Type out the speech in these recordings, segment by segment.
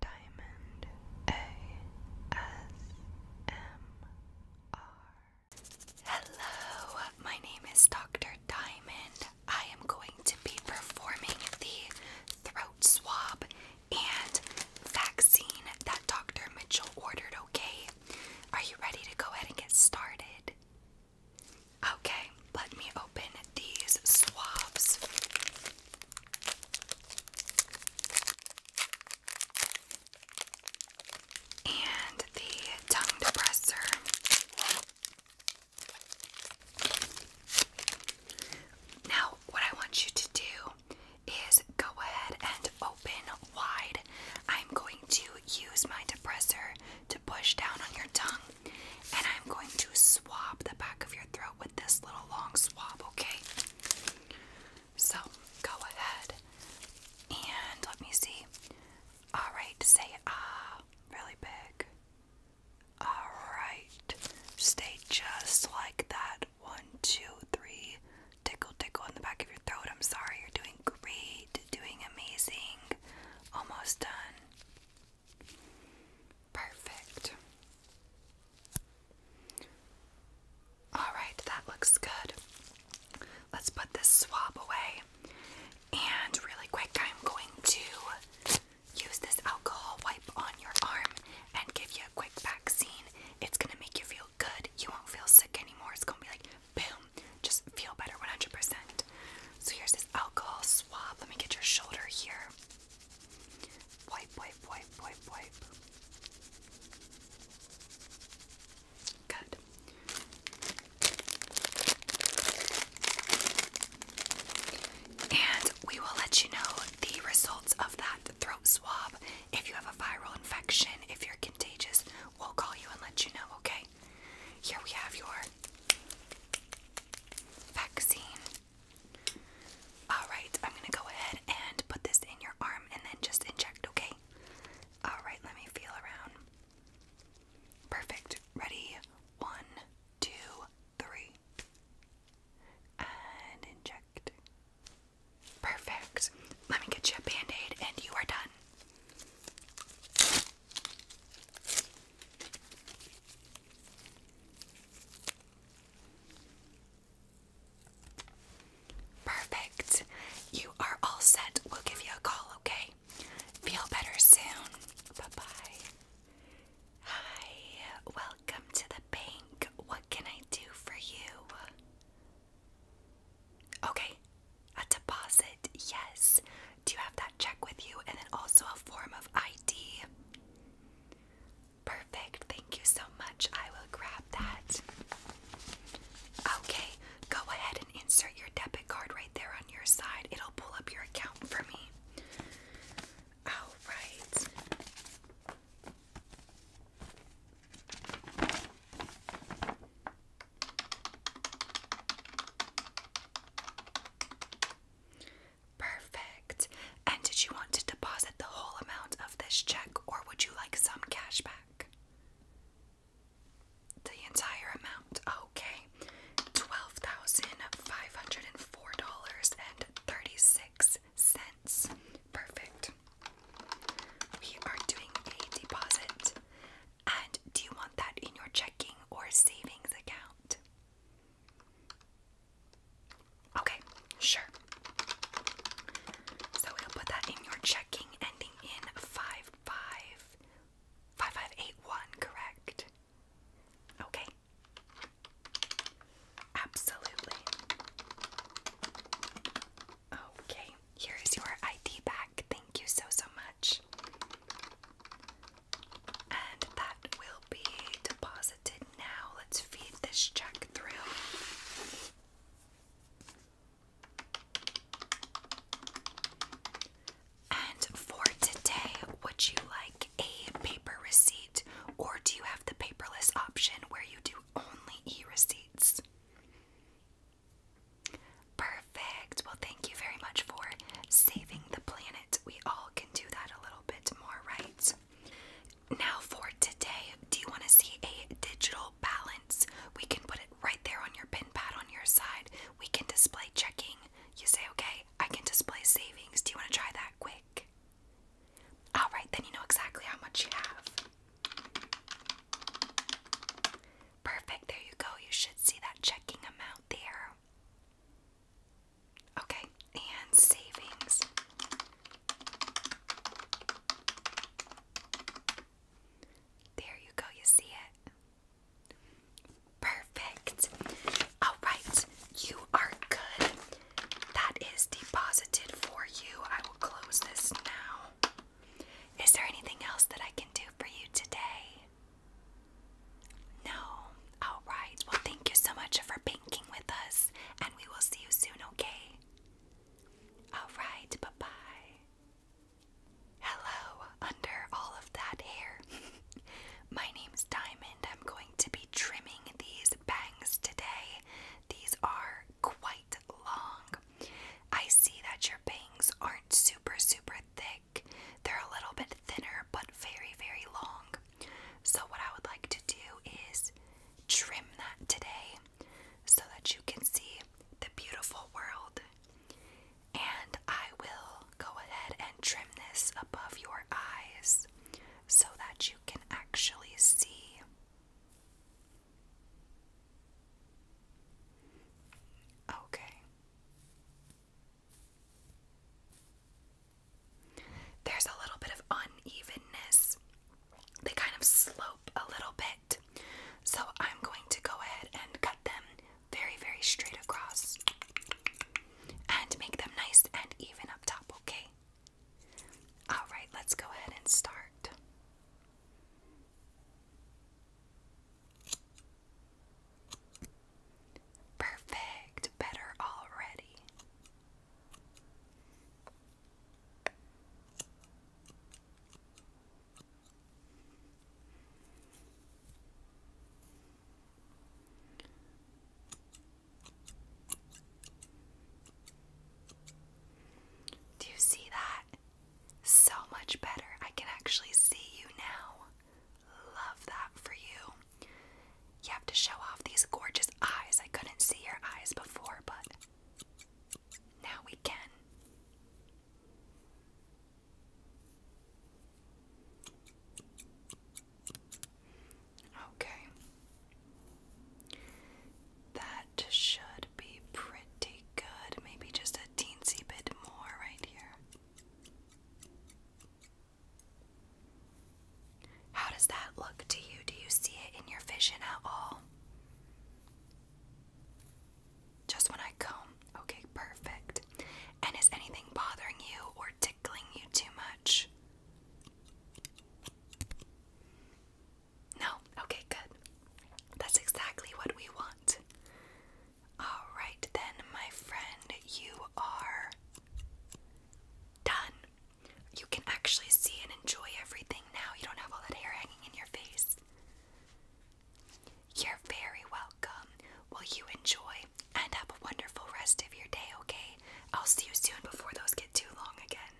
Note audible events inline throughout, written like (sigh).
Diamond ASMR. Hello, my name is Dr. Diamond. I am going to be performing the throat swab and vaccine that Dr. Mitchell ordered, okay? Are you ready to go ahead and get started? Okay, let me open these swabs. And the tongue depressor. Now, what I want you to do is go ahead and open wide. I'm going to use my depressor to push down on your tongue and I'm going to swab the back of your throat with this little long swab, okay? So go ahead and let me see. Alright, say ah really big. Alright, stay just like that. One, two, three. Tickle, tickle in the back of your throat. I'm sorry, you're doing great, doing amazing. Almost done. Perfect. Alright, that looks good. Let's put this swab away. And really quick, I'm going to use this alcohol wipe on your arm and give you a quick vaccine. It's going to make you feel good. You won't feel sick anymore. It's going to be like, boom, just feel better 100%. So here's this alcohol swab. Let me get your shoulder here. Wipe, wipe, wipe, wipe, wipe. Good. And we will let you know the results of that throat swab. If you have a viral infection, if you're contagious, we'll call you and let you know, okay? Here we have your vaccine. Alright, I'm gonna go ahead and put this in your arm and then just inject, okay? Alright, let me feel around. Perfect. Ready? One, two, three. And inject. Perfect. Let me get you a band aid and you are done. Perfect. You are all set. We'll give you a call, okay? Feel better soon. Bye bye. Hi, welcome to the bank. What can I do for you? Okay, a deposit, yes. Do you have the check with you and then also a form of ID. Perfect. Thank you so much. I will grab that. Okay, go ahead and insert your debit card right there on your side. It'll pull up your account for me. All right. Perfect. And did you want to deposit the whole amount of this check or would you like some cash back? The entire amount. Okay. $12,504.36. Perfect. We are doing a deposit. And do you want that in your checking or savings account? Okay, sure. So we'll put that in your checking ending in 5581, correct? Okay. Absolutely. Okay, here is your ID back. Thank you so, so much. And that will be deposited now. Let's feed this check through. And for today, would you like a paper receipt or do you have the paperless option where you do only e receipts? Perfect. Well, thank you very much for saving the planet. We all can do that a little bit more, right? Now, for today, do you want to see a digital balance? We can put it right there on your pin pad on your side. We can display checking. You say, okay, I can display savings. Do you want to try that quick? All right, then you know exactly how much you have. Perfect, there you go. You should see that checking amount there. Okay, and savings. There you go, you see it? Perfect. All right, you are good. That is deposited for you. I will close this now. Is there anything else that I can do for you today? No. All right. Well, thank you so much for banking with us, and we will see you soon, okay? All right. Bye bye. Hello, under all of that hair. (laughs) My name's Diamond. I'm going to be trimming these bangs today. These are quite long. I see that your bangs aren't super, super thick. They're a little bit thinner, but very, very long. So, what I would like to do is trim that today so that you can see the beautiful world. And I will go ahead and trim this above your eyes so that you can actually see. Okay. There's a little bit of unevenness. They kind of slope a little bit. So I'm going to go ahead and cut them very, very straight across and make them nice and even up top, okay? Alright, let's go ahead and start. Perfect, better already. Do you see that? So much better. I can actually see you now. Love that for you. You have to show off these gorgeous eyes. I couldn't see your eyes before, but now we can. Okay. That should be pretty good. Maybe just a teensy bit more right here. How does that look to you? Do you see it in your vision at all? Just when I comb. Okay, perfect. And is anything bothering you or tickling you too much? No? Okay, good. That's exactly what we want. Alright then, my friend, you are done. You can actually see and enjoy everything now. You don't have all that hair hanging in your face. You're very welcome. Will you enjoy and have a wonderful rest of your day, okay? I'll see you soon before those get too long again.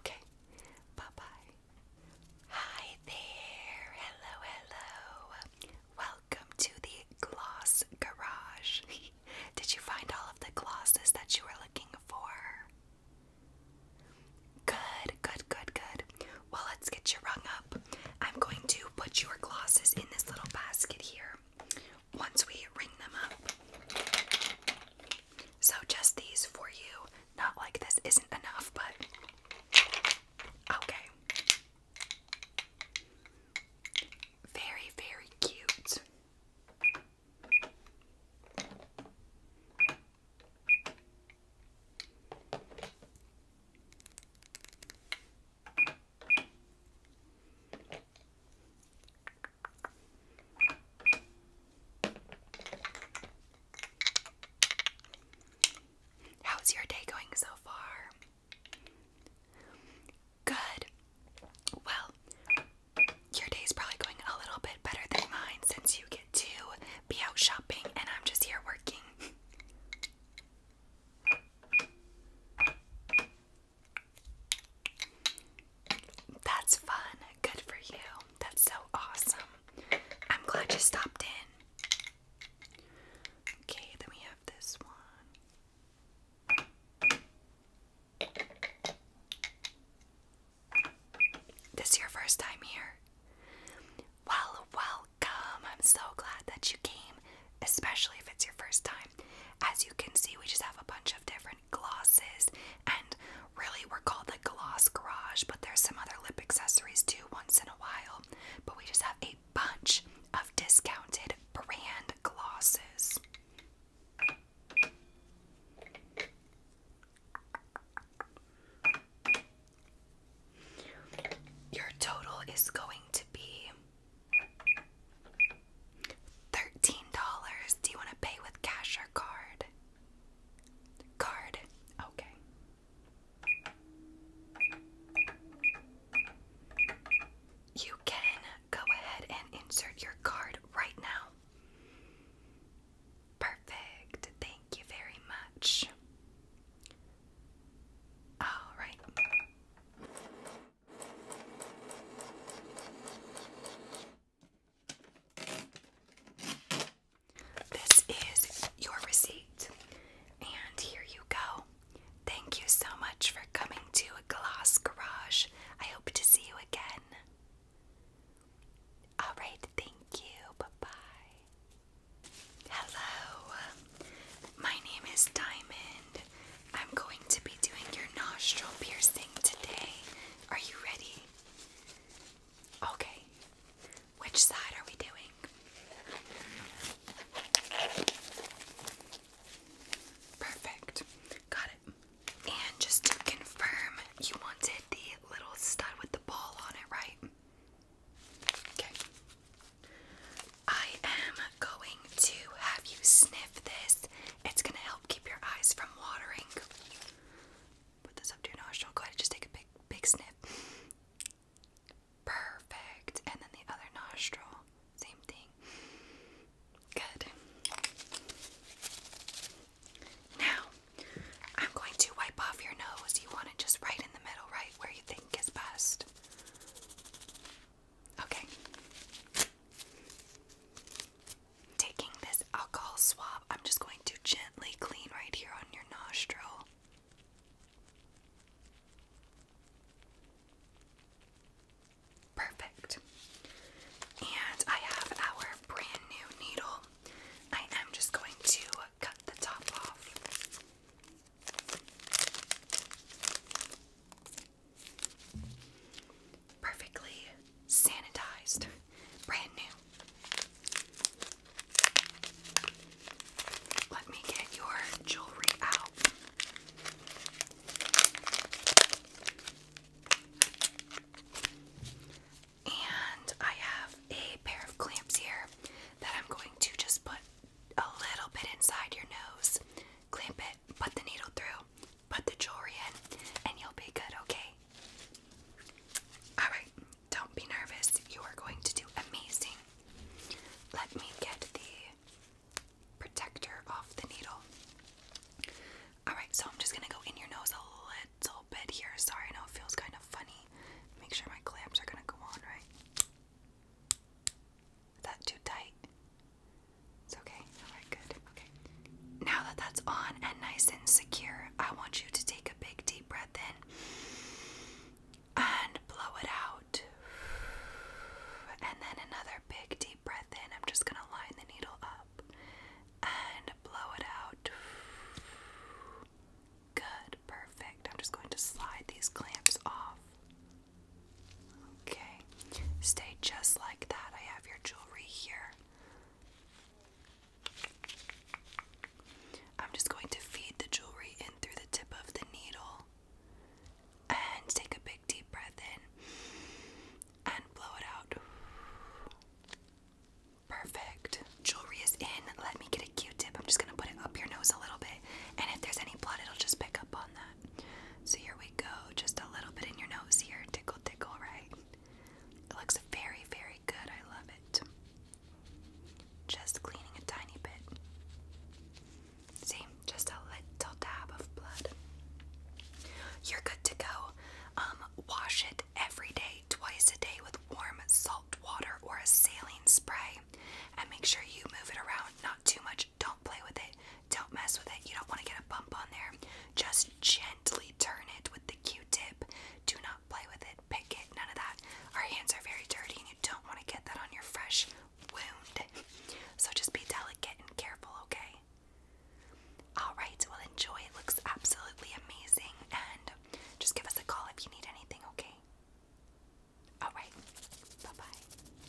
Okay. Bye bye. Hi there. Hello, hello. Welcome to the Gloss Garage. (laughs) Did you find all of the glosses that you were looking for? Good, good, good, good. Well, let's get you rung up. I'm going to put your glosses in this little basket here. Once we ring them up, so just these for you. Not like this isn't enough, but okay. Very, very cute. How's your day going so far? Good. Well, your day's probably going a little bit better than mine since you get to be out shopping and I'm just here working. That's fun. Good for you. That's so awesome. I'm glad you stopped in. Okay, then we have this one. This your first time here? Well, welcome. I'm so glad that you came, especially if it's your first time. As you can see, we just have a bunch of different glosses, and really we're called the Gloss Garage, but there's some other lip accessories too once in a while. But we just have a bunch of discounted brand glosses. Your total is going to be $13. Do you want to pay with cash or card? Card. Okay. You can go ahead and insert your card right now. Perfect. Thank you very much. All right. This is your receipt. And here you go. Thank you so much for coming to Glass Garage. I hope to see you again. Alright, thank you. Bye bye. Hello. My name is Diamond. I'm going to be doing your nostril piercing today. Are you ready? Okay. Which side are we doing? Perfect. Got it. And just to confirm, you wanted the little stud with the ball on it, right? Okay. I am going to have you sniff this. It's going to help um, keep your eyes from watering. Put this up to your nostril. Go ahead just take a big, big sniff. Perfect. And then the other nostril. Same thing. Good. Now, I'm going to wipe off your nose. You want it just right in the middle, right where you think is best. Okay taking this alcohol swab, I'm just going to gently clean right here on your nostril. Perfect. And I have our brand new needle. I am just going to cut the top off. Perfectly sanitized, brand new. Let me get your jewelry out. And I have a pair of clamps here that I'm going to just put a little bit inside your nose, clamp it, put the needle through, Put the jewelry in and you'll be good, okay? Alright, don't be nervous. You are going to do amazing. Let me get the protector off the needle. Alright, so I'm just gonna go in your nose a little bit here. Sorry, I know it feels kind of funny. Make sure my clamps are gonna go on, right? Is that too tight? It's okay. Alright, good. Okay. Now that that's on and nice and secure, I want you to take a big deep breath in and blow it out. And then another big deep breath in. I'm just going to line the needle up and blow it out. Good, perfect. I'm just going to slide these clamps off. Okay, stay just like that. I have your jewelry here. I'm just going to feed the jewelry in through the tip of the needle and take a big deep breath in and blow it out. Perfect. Jewelry is in. Let me get a Q tip. I'm just going to put it up your nose a little bit, and if there's any blood, it'll just pick up on that. So here we go, just a little bit in your nose here. Tickle, tickle, right? It looks very, very good. I love it. Just cleaning a tiny bit. See, just a little dab of blood. You're good to go. Um, wash it every day, twice a day with warm salt water or a saline spray, and make sure you move it around not too much. Don't play with it. Don't mess with it. You don't want to get a bump on there. Just gently turn it with the Q-tip. Do not play with it. Pick it. None of that. Our hands are very dirty and you don't want to get that on your fresh wound. So just be delicate and careful, okay? Alright, well enjoy. It looks absolutely amazing. And just give us a call if you need anything, okay? Alright. Bye-bye.